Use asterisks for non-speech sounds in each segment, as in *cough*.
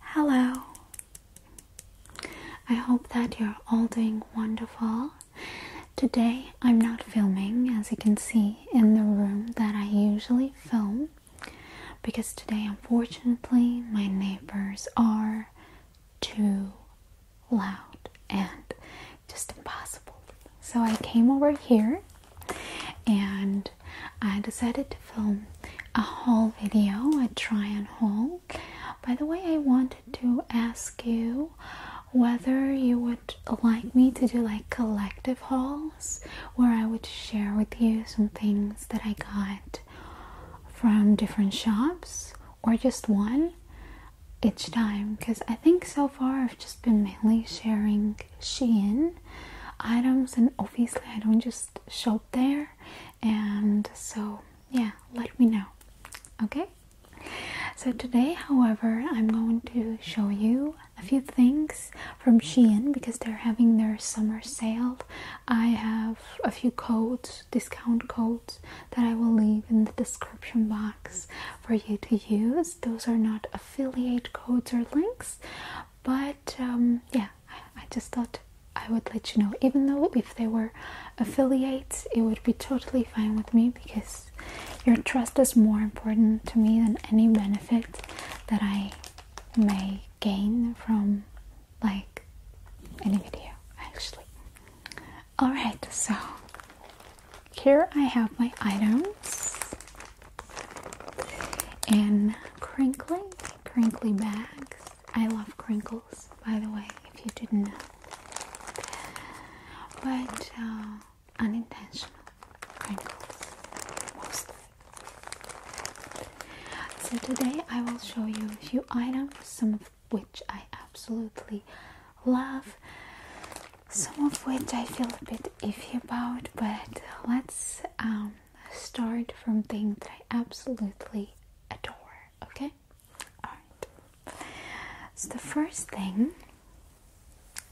Hello! I hope that you're all doing wonderful. Today I'm not filming, as you can see, in the room that I usually film because today, unfortunately, my neighbors are too loud and just impossible. So I came over here and I decided to film a haul video, a try and haul. By the way, I wanted to ask you whether you would like me to do like collective hauls where I would share with you some things that I got from different shops or just one each time because I think so far I've just been mainly sharing Shein items and obviously I don't just shop there and so, yeah, let me know. Okay? So, today, however, I'm going to show you a few things from Shein because they're having their summer sale. I have a few codes, discount codes, that I will leave in the description box for you to use. Those are not affiliate codes or links, but um, yeah, I just thought I would let you know. Even though if they were affiliates, it would be totally fine with me because your trust is more important to me than any benefit that I may gain from like any video actually. Alright, so here I have my items. And crinkly, crinkly bags. I love crinkles, by the way, if you didn't know. But uh, unintentional crinkles, So today I will show you a few items, some of which I absolutely love, some of which I feel a bit iffy about, but let's um, start from things that I absolutely adore, okay? Alright. So, the first thing,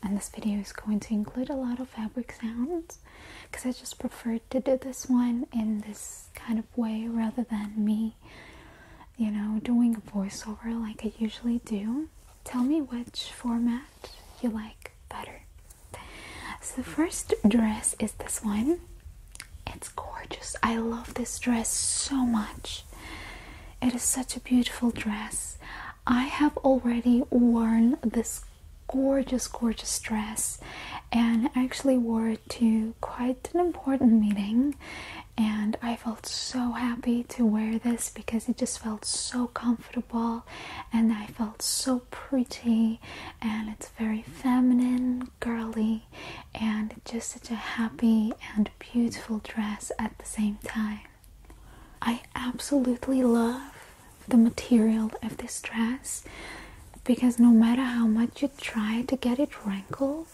and this video is going to include a lot of fabric sounds because I just prefer to do this one in this kind of way rather than me, you know, doing a voiceover like I usually do. Tell me which format you like better. So the first dress is this one. It's gorgeous. I love this dress so much. It is such a beautiful dress. I have already worn this gorgeous, gorgeous dress and actually wore it to quite an important meeting. And I felt so happy to wear this because it just felt so comfortable and I felt so pretty and it's very feminine, girly and just such a happy and beautiful dress at the same time. I absolutely love the material of this dress because no matter how much you try to get it wrinkled,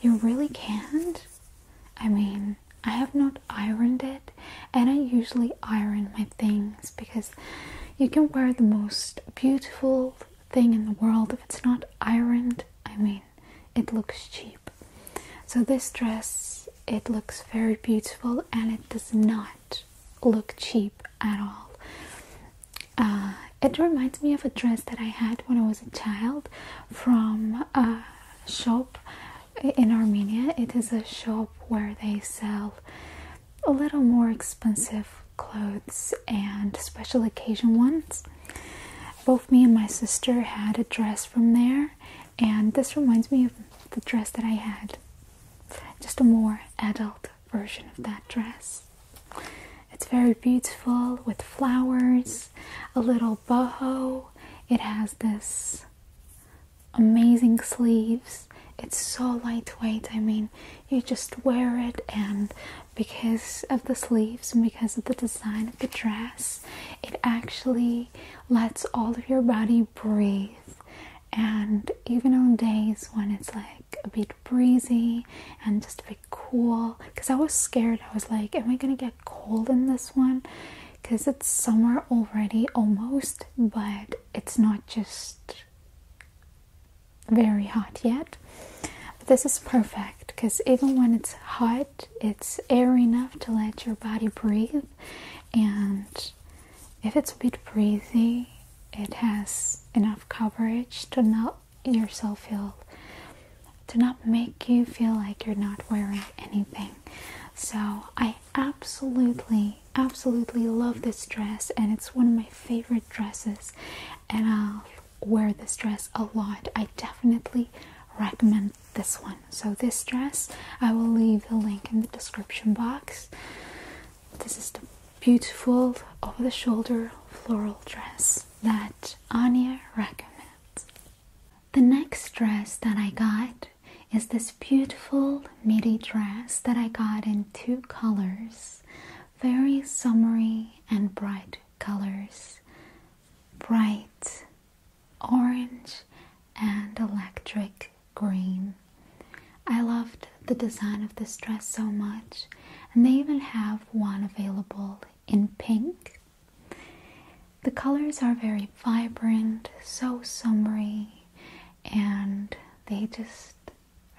you really can't. I mean, I have not ironed it, and I usually iron my things because you can wear the most beautiful thing in the world if it's not ironed. I mean, it looks cheap. So this dress, it looks very beautiful and it does not look cheap at all. Uh, it reminds me of a dress that I had when I was a child from a shop in Armenia. It is a shop where they sell a little more expensive clothes and special occasion ones. Both me and my sister had a dress from there, and this reminds me of the dress that I had. Just a more adult version of that dress. It's very beautiful with flowers, a little boho. It has this amazing sleeves. It's so lightweight. I mean, you just wear it, and because of the sleeves and because of the design of the dress, it actually lets all of your body breathe. And even on days when it's like a bit breezy and just a bit cool, because I was scared, I was like, Am I gonna get cold in this one? Because it's summer already almost, but it's not just very hot yet. But this is perfect because even when it's hot, it's airy enough to let your body breathe. And if it's a bit breezy, it has enough coverage to not yourself feel to not make you feel like you're not wearing anything. So I absolutely, absolutely love this dress, and it's one of my favorite dresses. And I'll wear this dress a lot. I definitely recommend this one. So, this dress, I will leave the link in the description box. This is the beautiful over the shoulder floral dress that Anya recommends. The next dress that I got is this beautiful midi dress that I got in two colors very summery and bright colors bright orange and electric green. I loved the design of this dress so much, and they even have one available in pink. The colors are very vibrant, so summery, and they just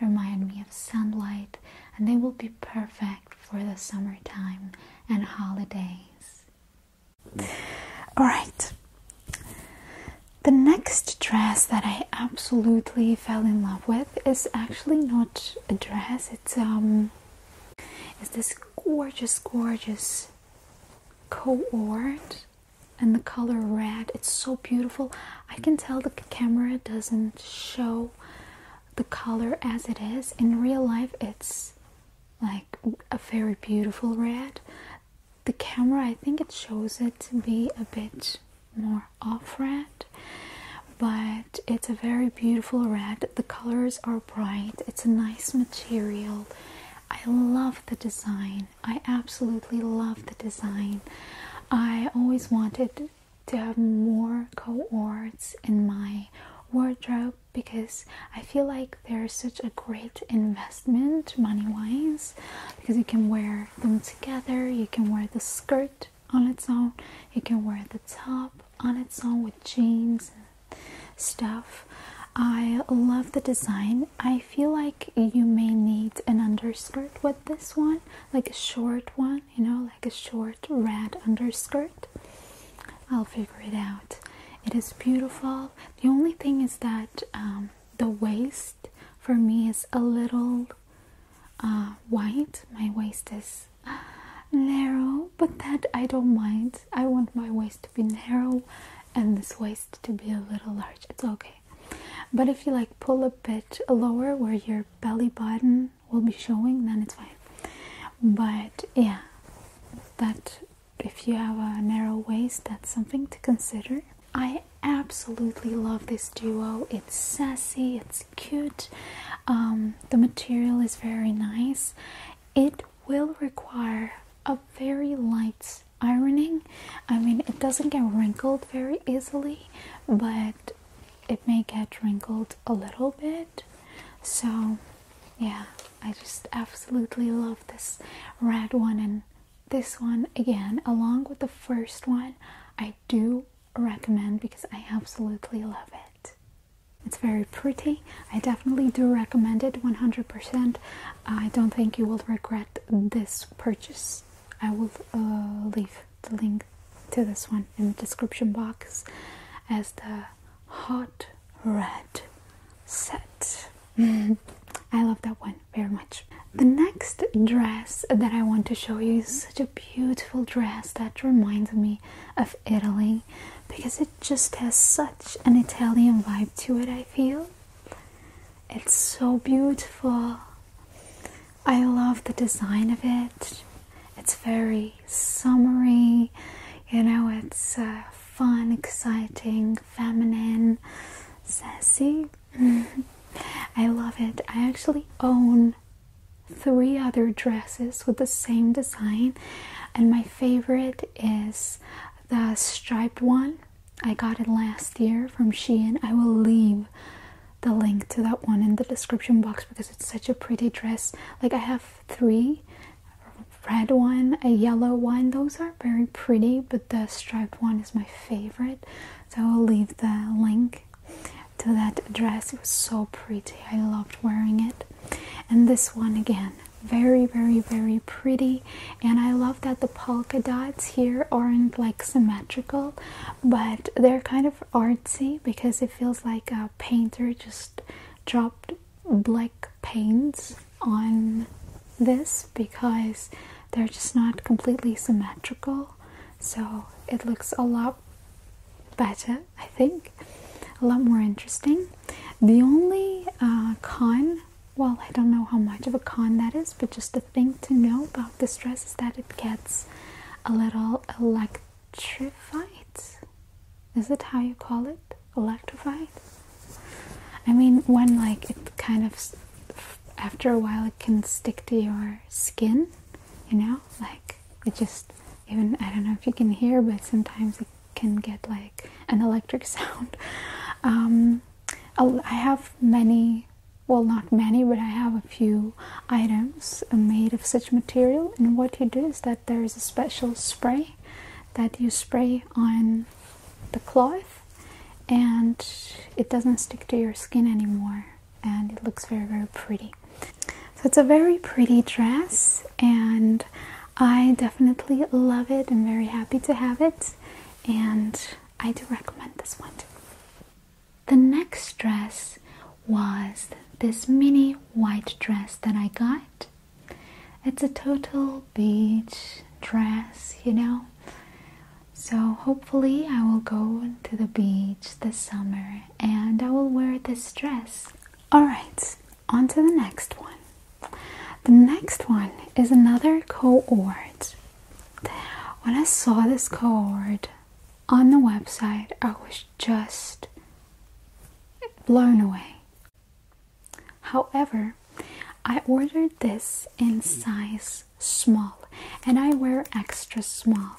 remind me of sunlight and they will be perfect for the summertime and holidays. All right. The next dress that I absolutely fell in love with is actually not a dress. It's um it's this gorgeous gorgeous cohort and the color red it's so beautiful i can tell the camera doesn't show the color as it is in real life it's like a very beautiful red the camera i think it shows it to be a bit more off red but it's a very beautiful red the colors are bright it's a nice material i love the design I absolutely love the design. I always wanted to have more cohorts in my wardrobe because I feel like they're such a great investment money wise because you can wear them together, you can wear the skirt on its own, you can wear the top on its own with jeans stuff. I love the design. I feel like you may need an underskirt with this one, like a short one, you know, like a short red underskirt. I'll figure it out. It is beautiful. The only thing is that um, the waist for me is a little uh, wide. My waist is uh, narrow, but that I don't mind. I want my waist be narrow and this waist to be a little large. It's okay. But if you like pull a bit lower where your belly button will be showing, then it's fine. But yeah, that if you have a narrow waist, that's something to consider. I absolutely love this duo. It's sassy, it's cute, um, the material is very nice. It will require a very light ironing. I mean, it doesn't get wrinkled very easily, but it may get wrinkled a little bit. So, yeah, I just absolutely love this red one and this one again, along with the first one. I do recommend because I absolutely love it. It's very pretty I definitely do recommend it 100%. I don't think you will regret this purchase. I will uh, leave the link to this one in the description box as the hot red set. *laughs* I love that one very much. The next dress that I want to show you is such a beautiful dress that reminds me of Italy because it just has such an Italian vibe to it, I feel. It's so beautiful. I love the design of it. It's very summery, you know, it's uh, fun, exciting, feminine, sassy. *laughs* I love it. I actually own three other dresses with the same design, and my favorite is the striped one i got it last year from shein i will leave the link to that one in the description box because it's such a pretty dress like i have three red one a yellow one those are very pretty but the striped one is my favorite so i will leave the link to that dress it was so pretty i loved wearing it and this one again very very very pretty and i love that the polka dots here aren't like symmetrical but they're kind of artsy because it feels like a painter just dropped black paints on this because they're just not completely symmetrical so it looks a lot better i think a lot more interesting the only uh, con well, I don't know how much of a con that is, but just a thing to know about this dress is that it gets a little electrified. Is it how you call it? Electrified? I mean, when like it kind of, after a while, it can stick to your skin, you know? Like it just, even, I don't know if you can hear, but sometimes it can get like an electric *laughs* sound. Um, I have many, well, not many, but I have a few items made of such material. And what you do is that there is a special spray that you spray on the cloth and it doesn't stick to your skin anymore and it looks very very pretty so it's a very pretty dress and I definitely love it. I'm very happy to have it, and I do recommend this one The next dress was this mini white dress that I got. It's a total beach dress, you know. So, hopefully, I will go to the beach this summer and I will wear this dress. Alright, on to the next one. The next one is another cohort. When I saw this cohort on the website, I was just blown away. However, I ordered this in size small and I wear extra small.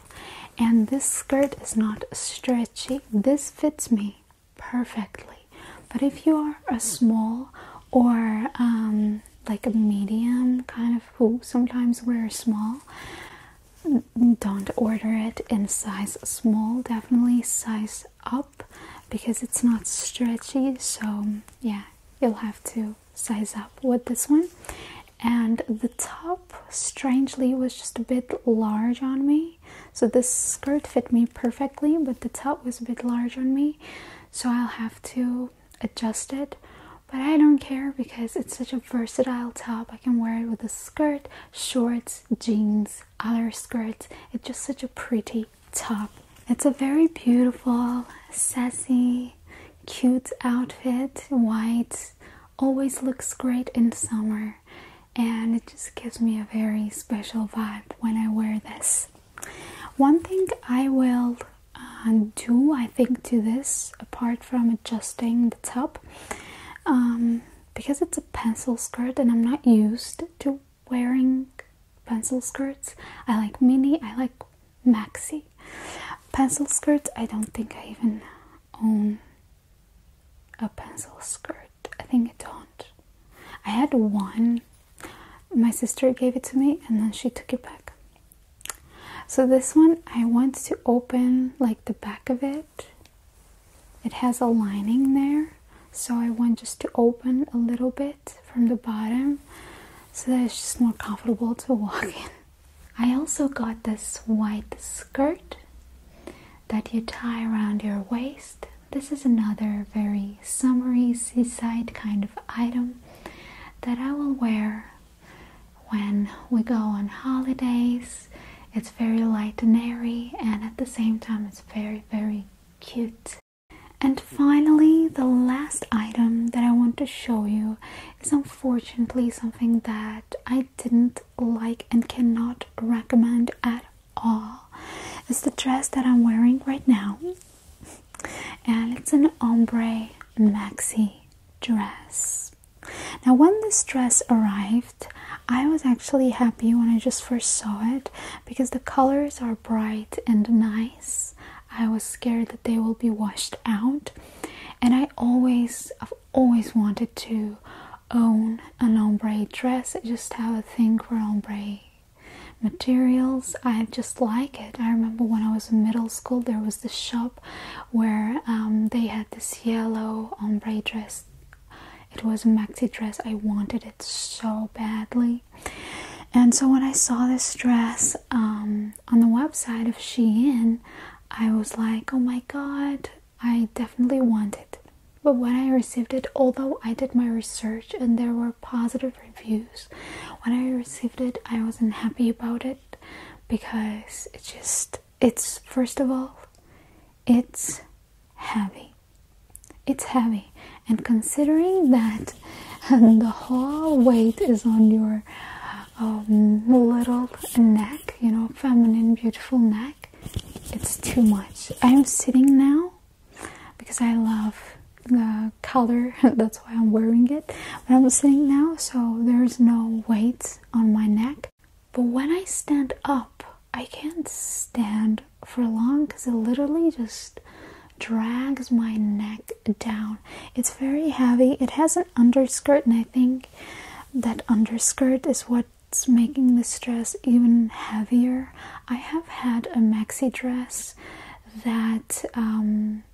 And this skirt is not stretchy, this fits me perfectly. But if you are a small or um, like a medium kind of who sometimes wear small, don't order it in size small, definitely size up because it's not stretchy. So, yeah, you'll have to size up with this one. And the top, strangely, was just a bit large on me. So this skirt fit me perfectly, but the top was a bit large on me, so I'll have to adjust it. But I don't care because it's such a versatile top. I can wear it with a skirt, shorts, jeans, other skirts. It's just such a pretty top. It's a very beautiful, sassy, cute outfit. White always looks great in summer and it just gives me a very special vibe when I wear this. One thing I will uh, do, I think, to this apart from adjusting the top, um, because it's a pencil skirt and I'm not used to wearing pencil skirts. I like mini, I like maxi. Pencil skirts, I don't think I even own a pencil skirt. I think it don't. I had one. My sister gave it to me and then she took it back. So this one I want to open like the back of it. It has a lining there. So I want just to open a little bit from the bottom so that it's just more comfortable to walk *laughs* in. I also got this white skirt that you tie around your waist. This is another very summery seaside kind of item that I will wear when we go on holidays. It's very light and airy, and at the same time, it's very, very cute. And finally, the last item that I want to show you is unfortunately something that I didn't like and cannot recommend at all. Oh, it's the dress that I'm wearing right now, and it's an ombre maxi dress. Now, when this dress arrived, I was actually happy when I just first saw it because the colors are bright and nice. I was scared that they will be washed out, and I always, I've always wanted to own an ombre dress. I just have a thing for ombre materials. I just like it. I remember when I was in middle school, there was this shop where um, they had this yellow ombre dress. It was a maxi dress. I wanted it so badly. And so when I saw this dress um, on the website of Shein, I was like, oh my god, I definitely wanted. But when I received it, although I did my research and there were positive reviews, when I received it, I wasn't happy about it because it just, it's first of all, it's heavy. It's heavy. And considering that *laughs* the whole weight is on your um, little neck, you know, feminine, beautiful neck, it's too much. I'm sitting now because I love the color, *laughs* that's why I'm wearing it. But I'm sitting now, so there's no weights on my neck. But when I stand up, I can't stand for long because it literally just drags my neck down. It's very heavy. It has an underskirt, and I think that underskirt is what it's making this dress even heavier. I have had a maxi dress that um,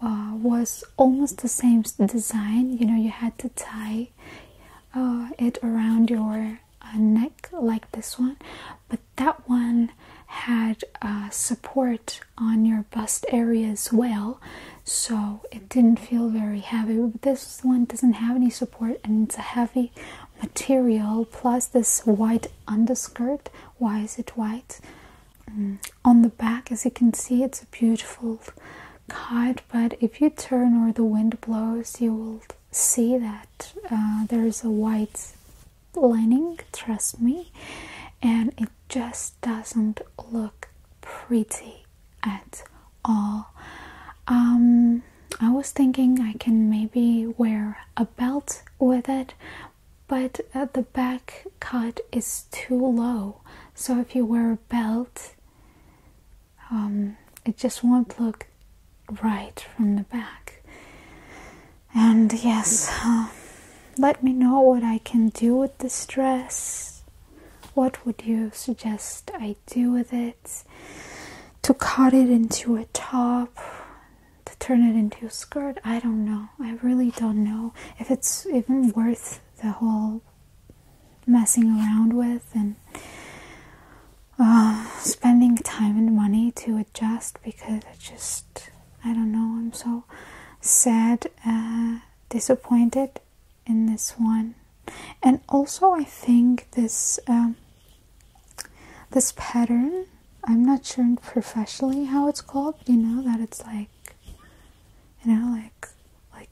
uh, was almost the same design. You know, you had to tie uh, it around your uh, neck like this one, but that one had support on your bust area as well, so it didn't feel very heavy. But this one doesn't have any support and it's a heavy material plus this white underskirt why is it white mm. on the back as you can see it's a beautiful kite but if you turn or the wind blows you will see that uh, there is a white lining trust me and it just doesn't look pretty at all. Um, I was thinking I can maybe wear a belt with it, but uh, the back cut is too low. So if you wear a belt, um, it just won't look right from the back. And yes, um, let me know what I can do with this dress. What would you suggest I do with it? To cut it into a top, to turn it into a skirt? I don't know. I really don't know if it's even worth the whole messing around with and uh, spending time and money to adjust because it just, I don't know, I'm so sad, uh, disappointed in this one and also i think this um, this pattern i'm not sure professionally how it's called you know that it's like you know like like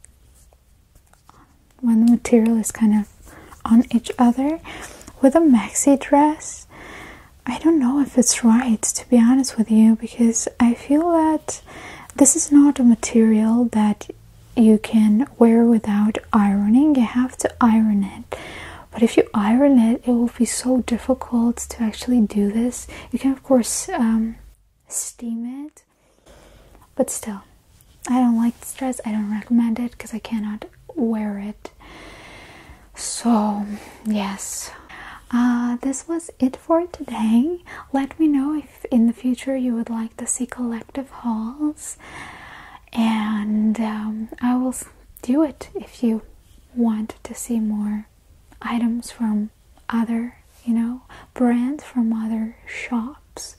when the material is kind of on each other with a maxi dress i don't know if it's right to be honest with you because i feel that this is not a material that you can wear without ironing. You have to iron it. But if you iron it, it will be so difficult to actually do this. You can, of course, um, steam it, but still, I don't like this dress. I don't recommend it because I cannot wear it. So, yes, uh, this was it for today. Let me know if in the future you would like to see collective hauls, and um, I will do it if you want to see more items from other, you know, brands from other shops.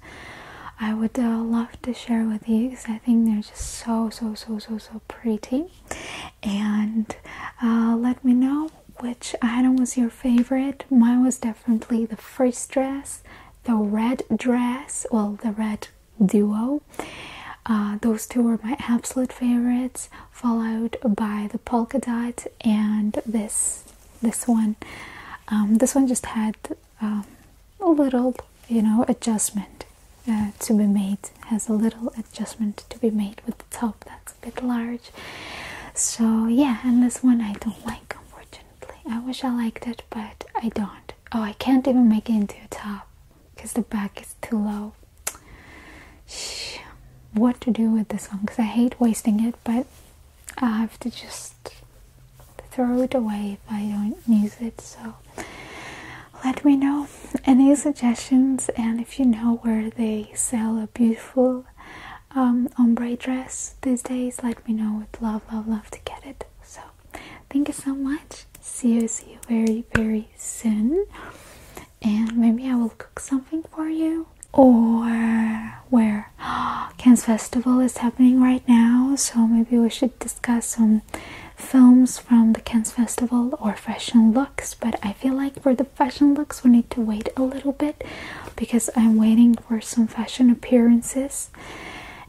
I would uh, love to share with you because I think they're just so, so, so, so, so pretty. And uh, let me know which item was your favorite. Mine was definitely the first dress, the red dress, well, the red duo. Uh, those two were my absolute favorites, followed by the polka dot and this this one. Um, this one just had um, a little, you know, adjustment uh, to be made. Has a little adjustment to be made with the top that's a bit large. So yeah, and this one I don't like, unfortunately. I wish I liked it, but I don't. Oh, I can't even make it into a top because the back is too low. Shh. What to do with this one because I hate wasting it, but I have to just throw it away if I don't use it. So let me know any suggestions and if you know where they sell a beautiful um, ombre dress these days, let me know. with love, love, love to get it. So, thank you so much. See you, see you very, very soon. And maybe I will cook something for you. Or where *gasps* Cannes Festival is happening right now, so maybe we should discuss some films from the Cannes Festival or fashion looks. But I feel like for the fashion looks, we need to wait a little bit because I'm waiting for some fashion appearances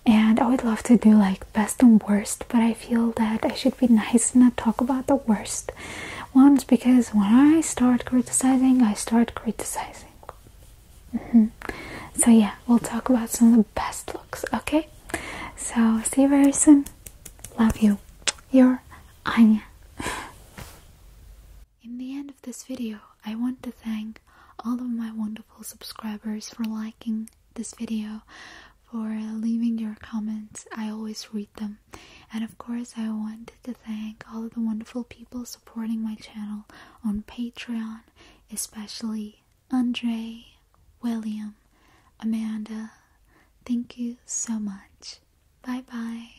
and I would love to do like best and worst but I feel that I should be nice and not talk about the worst ones because when I start criticizing I start criticizing mm-hmm. so yeah we'll talk about some of the best looks okay so see you very soon love you your Anya *laughs* In the end of this video, I want to thank all of my wonderful subscribers for liking this video, for leaving your comments. I always read them. And of course, I wanted to thank all of the wonderful people supporting my channel on Patreon, especially Andre, William, Amanda. Thank you so much. Bye bye.